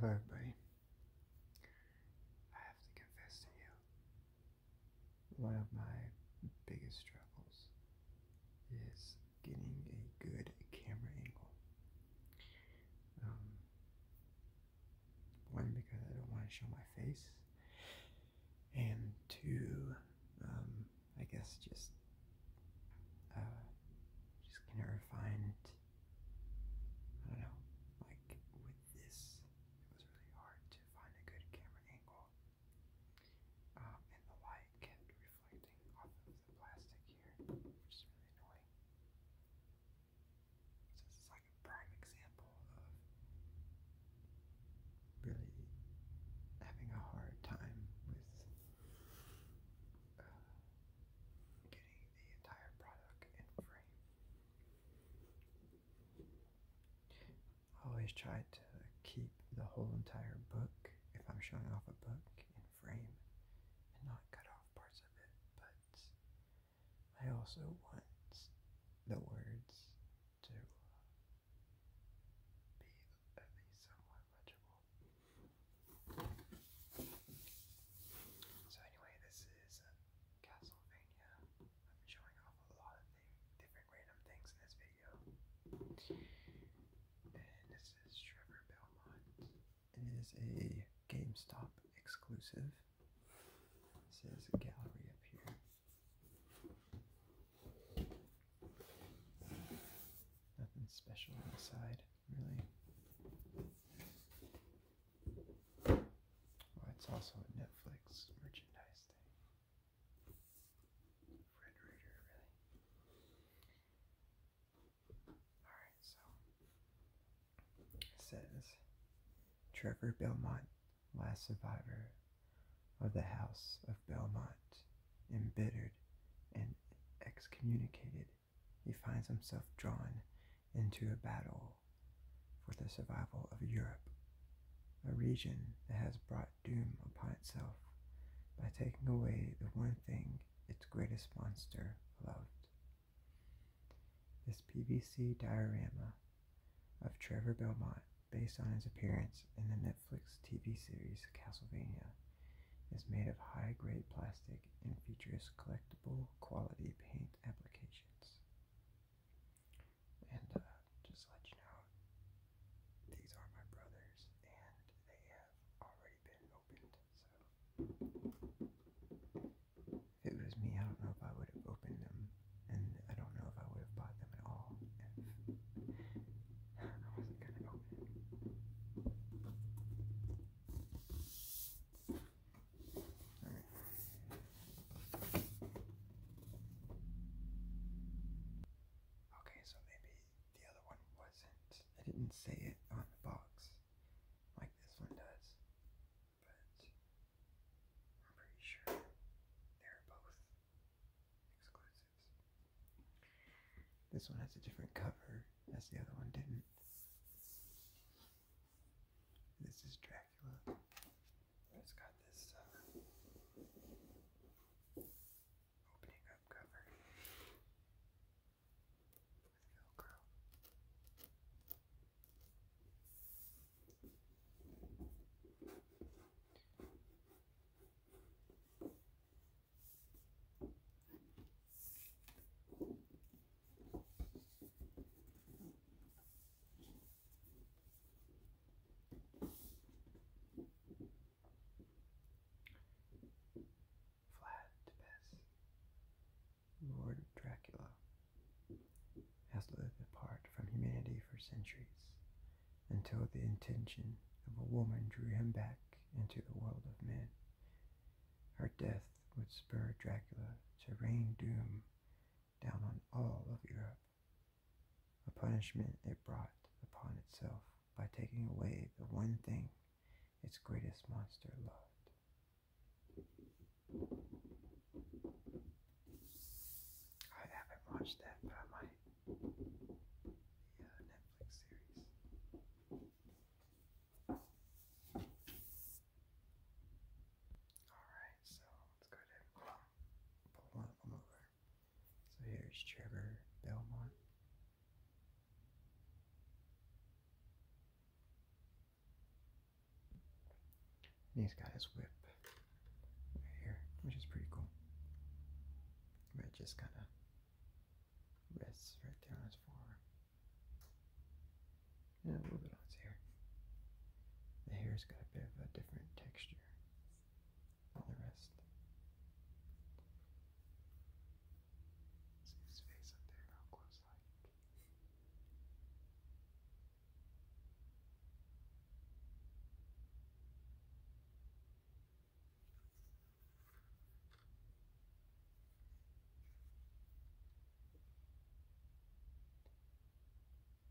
Hello, buddy. I have to confess to you, one of my biggest struggles is getting a good camera angle. Um, one, because I don't want to show my face, and two, um, I guess just, uh, just kind of refine I don't know, like with this, it was really hard to find a good camera angle. Um, and the light kept reflecting off of the plastic here, which is really annoying. So this is like a prime example of really having a hard time with uh, getting the entire product in frame. I always try to keep the whole entire book, if I'm showing off a book, in frame and not cut off parts of it, but I also want the words to be at least somewhat legible. So anyway, this is uh, Castlevania. I'm showing off a lot of th different random things in this video. And this is Trevor Belmont. It is a GameStop exclusive. It says a gallery up here. Nothing special on really. it's also a Netflix merchandise thing. Red Raider, really. Alright, so it says Trevor Belmont, last survivor of the House of Belmont, embittered and excommunicated he finds himself drawn into a battle for the survival of Europe, a region that has brought doom upon itself by taking away the one thing its greatest monster loved. This PVC diorama of Trevor Belmont, based on his appearance in the Netflix TV series Castlevania, is made of high-grade plastic and features collectible quality paint applications. And uh, just let you know, these are my brothers, and they have already been opened. So if it was me, I don't know if I would have opened them, and I don't know if I would have bought them at all if I wasn't gonna open Okay, so maybe the other one wasn't. I didn't say it on the box like this one does, but I'm pretty sure they're both exclusives. This one has a different cover, as the other one didn't. This is Dracula. It's got this uh, opening up cover with Velcro. Vlad Lord Dracula, has lived apart from humanity for centuries until the intention of a woman drew him back into the world of men. Her death would spur Dracula to rain doom down on all of Europe, a punishment it brought upon itself by taking away the one thing its greatest monster loved. I haven't watched that, but I might. Netflix series. Alright, so let's go ahead and pull, one of them over. So here's Trevor Belmont. he's got his whip right here, which is pretty cool. But just kind of rests right there on his forearm. Now a little bit on his hair. The hair's got a bit of a different texture than the rest. See his face up there, how close like.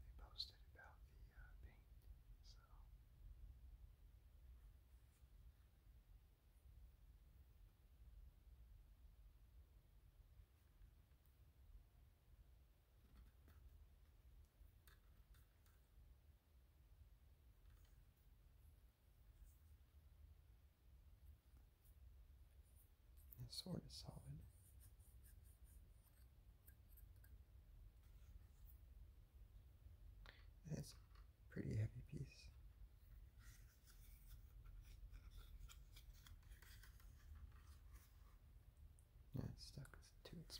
They posted about the uh, paint, so. That sword is solid. it's pretty heavy piece. Yeah, stuck to its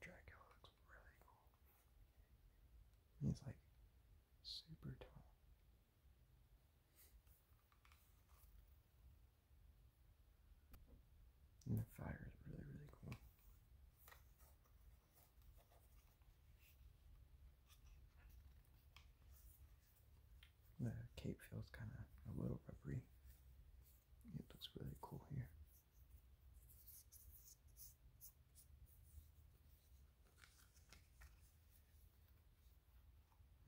Dracula looks really cool. He's like super tall. And the fire is really, really cool. The cape feels kind of a little rubbery. It looks really cool here.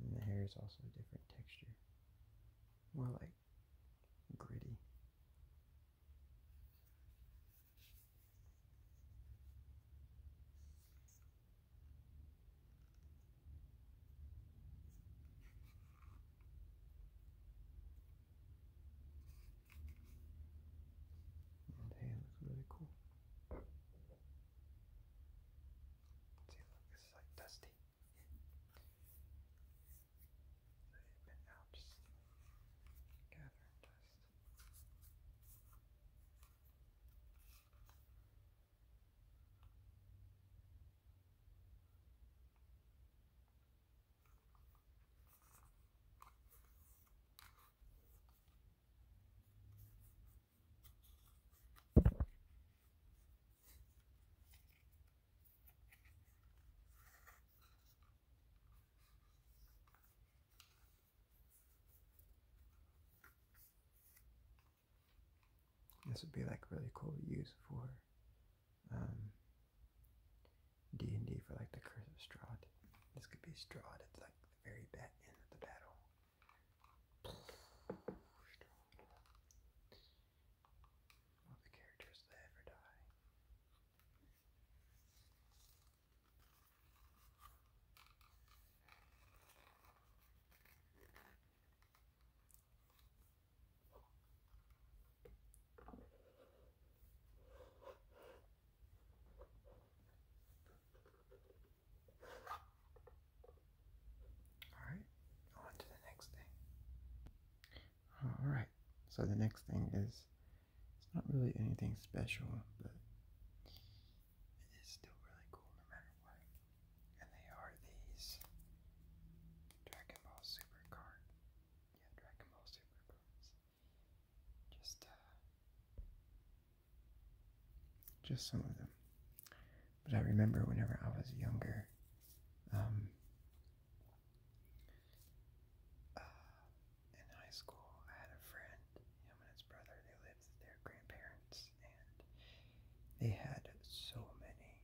And the hair is also a different texture. More like gritty. And hey, it looks really cool. See, look, this is like dusty. So you've been out just gathering dust. This would be like really cool to use for um, D&D for like the Curse of Stroud. This could be Strahd. It's like the very bat end of the battle. All the characters that ever die. Alright, on to the next thing. Alright, so the next thing is it's not really anything special, but it is still really cool no matter what. And they are these Dragon Ball Super card yeah, Dragon Ball Super comes. Just, uh, just some of them. But I remember whenever I was younger, um, uh, in high school, I had a friend, him and his brother, they lived with their grandparents, and they had so many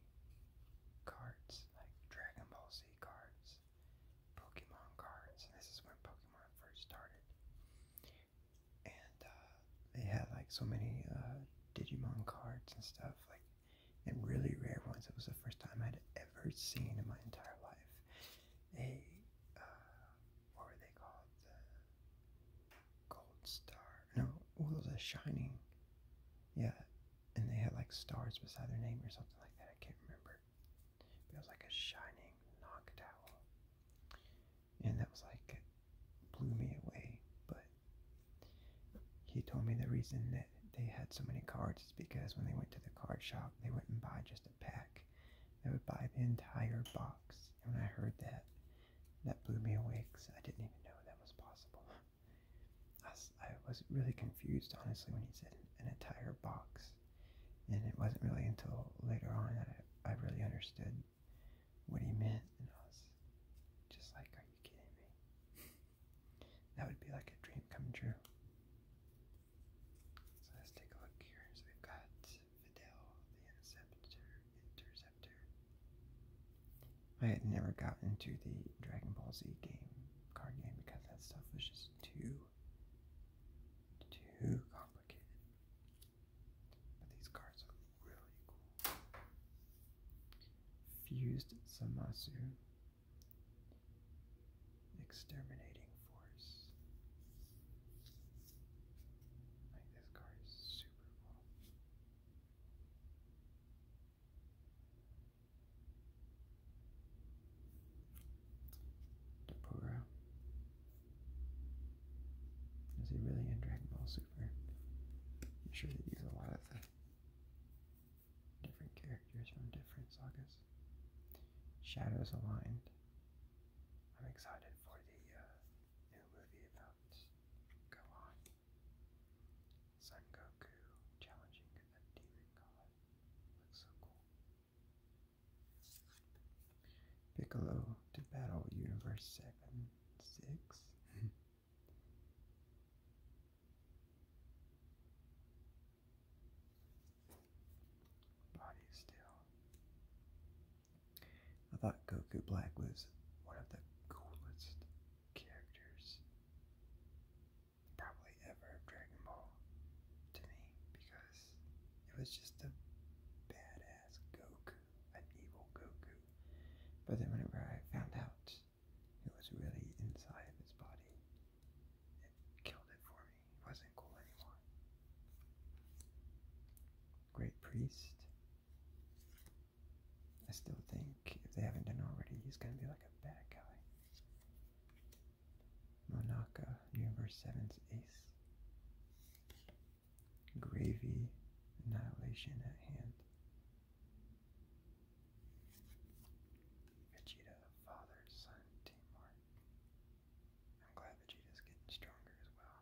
cards, like Dragon Ball Z cards, Pokemon cards, and this is when Pokemon first started. And uh, they had like so many uh, Digimon cards and stuff, like and really rare ones. It was the first time I'd ever seen in my entire life a uh, what were they called? Gold Star? No, what was Shining? Yeah, and they had like stars beside their name or something like that. I can't remember. But like a shining knock towel. And that was like blew me away. But he told me the reason that they had so many cards is because when they went to the card shop, they wouldn't buy just a pack. They would buy the entire box. And when I heard that, that blew me away because I didn't even know that was possible. I, was really confused, honestly, when he said an entire box. And it wasn't really until later on that I, really understood what he meant. And I was just like, are you kidding me? that would be like a dream come true. So let's take a look here. So we've got Fidel, the Interceptor. I had never gotten into the Dragon Ball Z game card game because that stuff was just too, too complicated. But these cards are really cool. Fused Samasu. Exterminating Force. Like this card is super cool. Deborah is he really in Dragon Ball Super? I'm sure they use a lot of the different characters from different sagas. Shadows aligned. I'm excited for the uh, new movie about Gohan. Son Goku challenging Piccolo to battle Universe Seven Six. Body still. I thought Goku Black was one of the coolest characters probably ever Dragon Ball to me because it was just a badass Goku, an evil Goku. But then whenever I found out it was really inside his body, it killed it for me. It wasn't cool anymore. Great priest. I still think if they haven't done already, he's gonna be like a bad guy. Monaka, Universe seven's ace. Gravy, annihilation at hand. Vegeta, father, son, Timor. I'm glad Vegeta's getting stronger as well.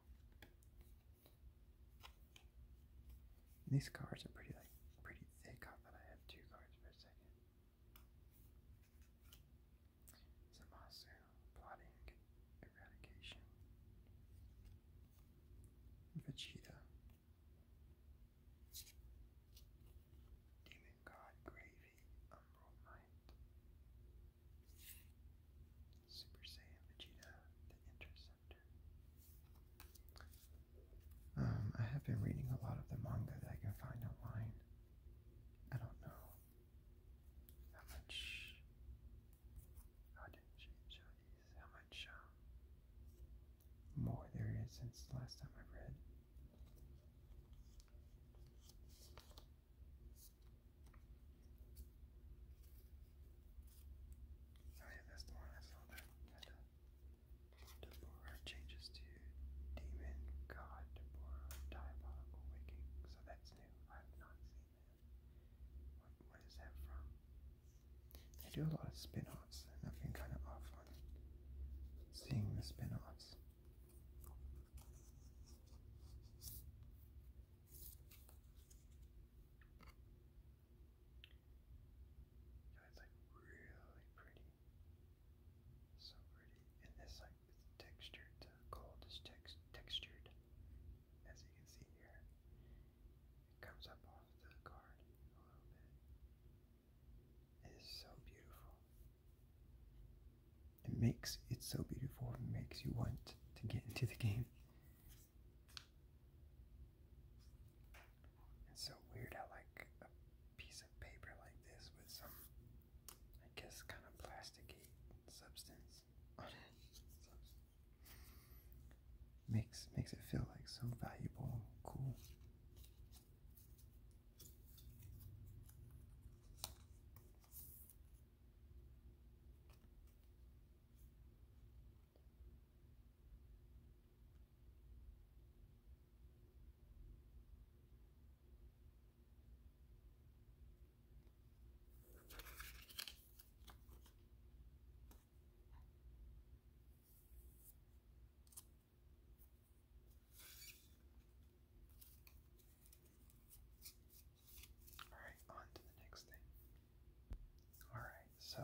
These cards are pretty like pretty thick. I thought I had two cards per second. Zamasu plotting eradication. Vegeta. Demon God Gravy Umbral Knight. Super Saiyan Vegeta the Interceptor. Um, I have been reading a lot of the manga that I can find online. I don't know how much how how much um, more there is since last time I read. Oh yeah, that's the one I saw that uh, Deborah changes to demon god Deborah diabolical waking. So that's new. I have not seen that. What, what is that from? They do a lot of spin-offs, and I've been kind of off on seeing the spin-offs. Yeah, it's like really pretty. So pretty. And this like textured, gold is tex textured, as you can see here. It comes up off the card a little bit. It is so beautiful. It makes it so beautiful. It makes you want to get into the game. It's so weird how like a piece of paper like this with some, I guess, kind of plasticky substance on it. makes makes it feel like so valuable, cool. Alright, on to the next thing. Alright, so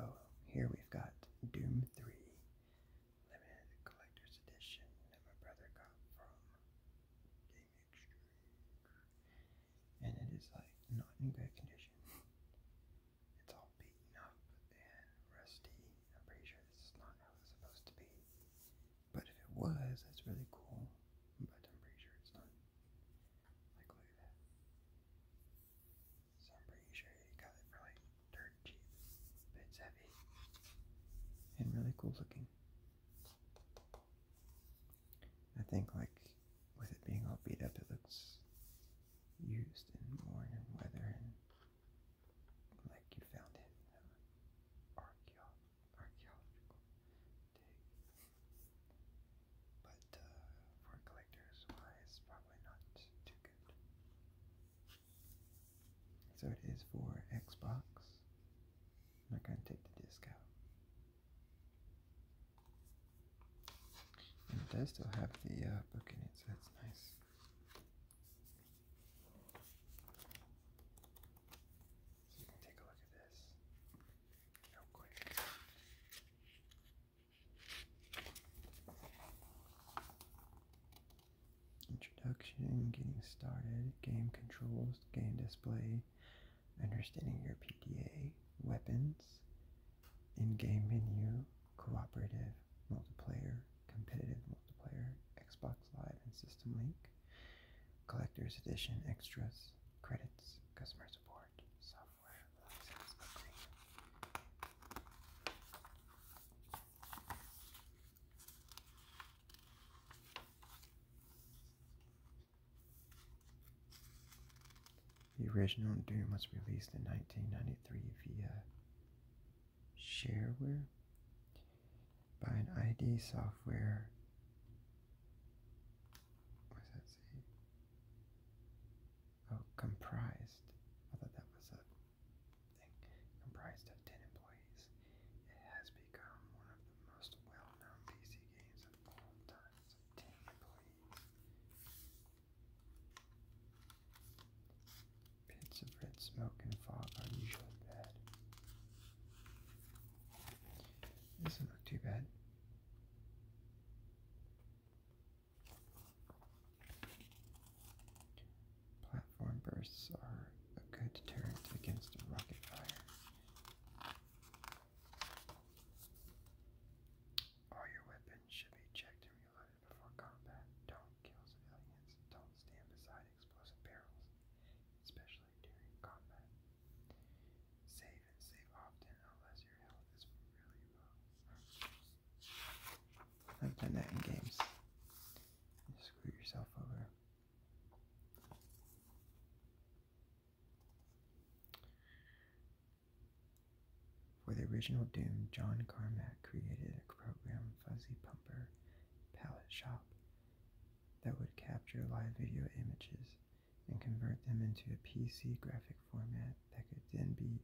here we've got Doom 3 limited collector's edition that my brother got from Game Exchange. And it is like not in good condition. It's all beaten up and rusty. I'm pretty sure this is not how it's supposed to be. But if it was, that's really cool. But I'm pretty sure it's not. Like, that. So I'm pretty sure he got it for like dirt cheap, but it's heavy and really cool looking. I think like with it being all beat up, it looks used and worn and weathered and like you found it in archaeological dig. But uh, for collectors, why it's probably not too good. So it is for Xbox. I'm not going to take the disc out. And it does still have the uh, book in it, so that's nice. So you can take a look at this real quick. Introduction, getting started, game controls, game display, understanding your PDA, weapons, in-game menu, cooperative, multiplayer, competitive multiplayer, Xbox Live and System Link, collector's edition extras, credits, customer support, software the original Doom was released in 1993 via shareware by an ID software. What that say? Oh, comprised. I thought that was a comprised of 10 employees. It has become one of the most well-known PC games of all time. 10 employees. Bits of red smoke and fog are usually bad. Doesn't too bad. Platform bursts are a good deterrent against rocket fire. All your weapons should be checked and reloaded before combat. Don't kill civilians. Don't stand beside explosive barrels, especially during combat. Save and save often unless your health is really low. I've done that in games. screw yourself over. For the original Doom, John Carmack created a program, Fuzzy Pumper Palette Shop, that would capture live video images and convert them into a PC graphic format that could then be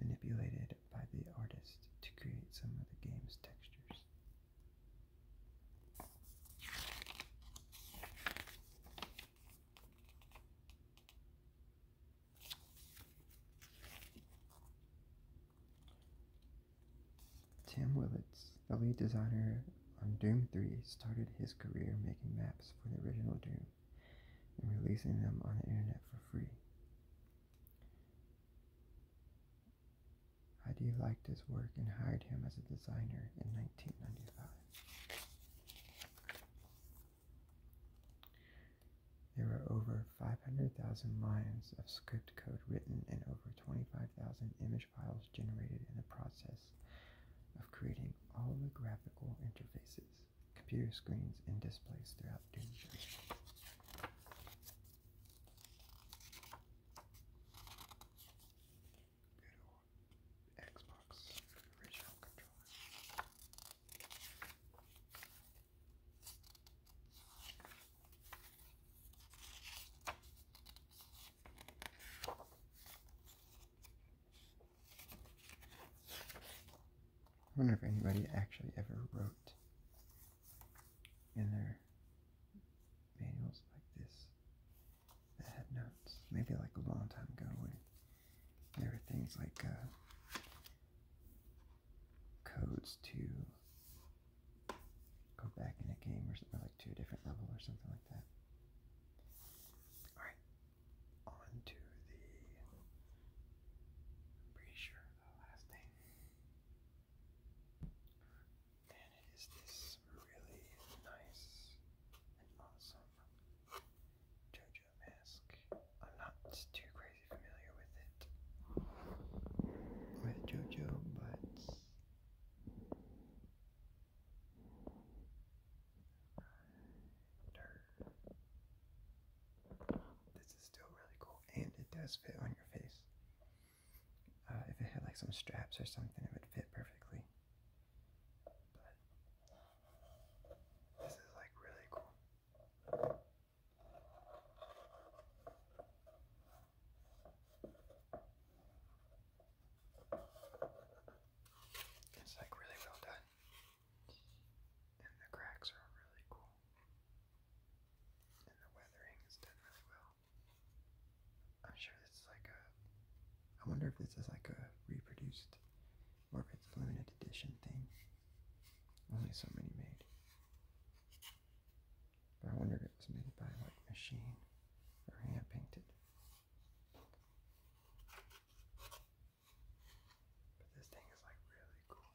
manipulated by the artist to create some of the game's textures. Tim Willits, the lead designer on Doom 3, started his career making maps for the original Doom and releasing them on the internet for free. Heidi liked his work and hired him as a designer in 1995. There were over 500,000 lines of script code written and over 25,000 image files generated in the process of creating all the graphical interfaces, computer screens, and displays throughout Doom Xbox original controller. I wonder if anybody actually ever wrote in their manuals like this notes. Maybe like a long time ago when there were things like uh, codes to go back in a game or something like to a different level or something like that. Alright, on the. pretty sure the last thing. And it is this really nice and awesome JoJo mask. I'm not too crazy familiar with it, with JoJo, but this is still really cool, and it does fit on your face. Uh, if it had like some straps or something, it would fit perfectly. But this is like really cool. It's like really well done. And the cracks are really cool. And the weathering is done really well. I'm sure this is like a. I wonder if this is like a reproduced or limited edition thing. Only so many made. But I wonder if it was made by like machine or hand painted. But this thing is like really cool.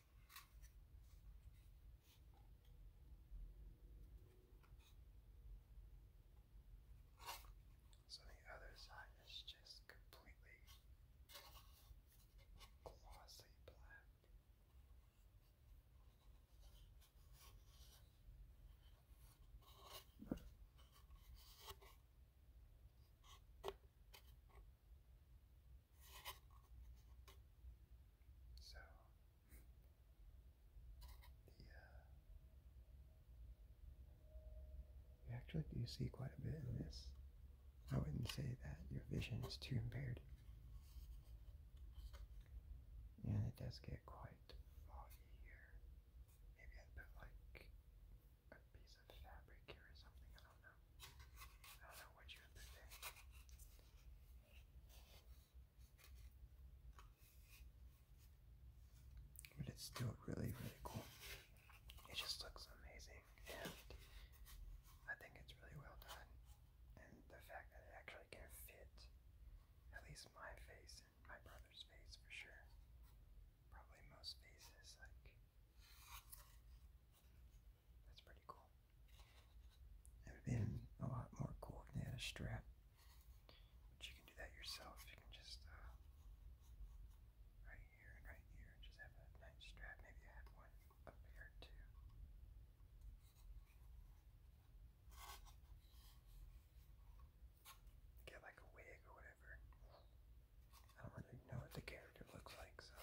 So the other side is just completely glossy black. So, the, uh, you actually do see quite a bit in this. I wouldn't say that your vision is too impaired. And it does get quite foggy here. Maybe i put like a piece fabric or something. I don't know. I don't know what you're thinking. But it's still really, really cool. It just looks amazing, and I think it's really well done. And the fact that it actually can fit at least my face and my brother's face for sure. Probably most faces, like that's pretty cool. It would have been a lot more cool if they had a strap. But you can do that yourself. You can just, uh, right here and right here, just have a nice strap. Maybe I one up here too. Get like a wig or whatever. I don't really know what the character looks like, so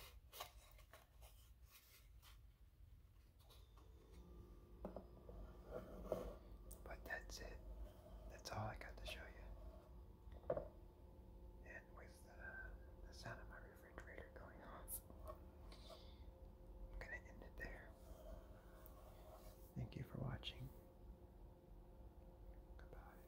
but that's it. That's all I got to show you. And with the, sound of my refrigerator going off, I'm going to end it there. Thank you for watching. Goodbye.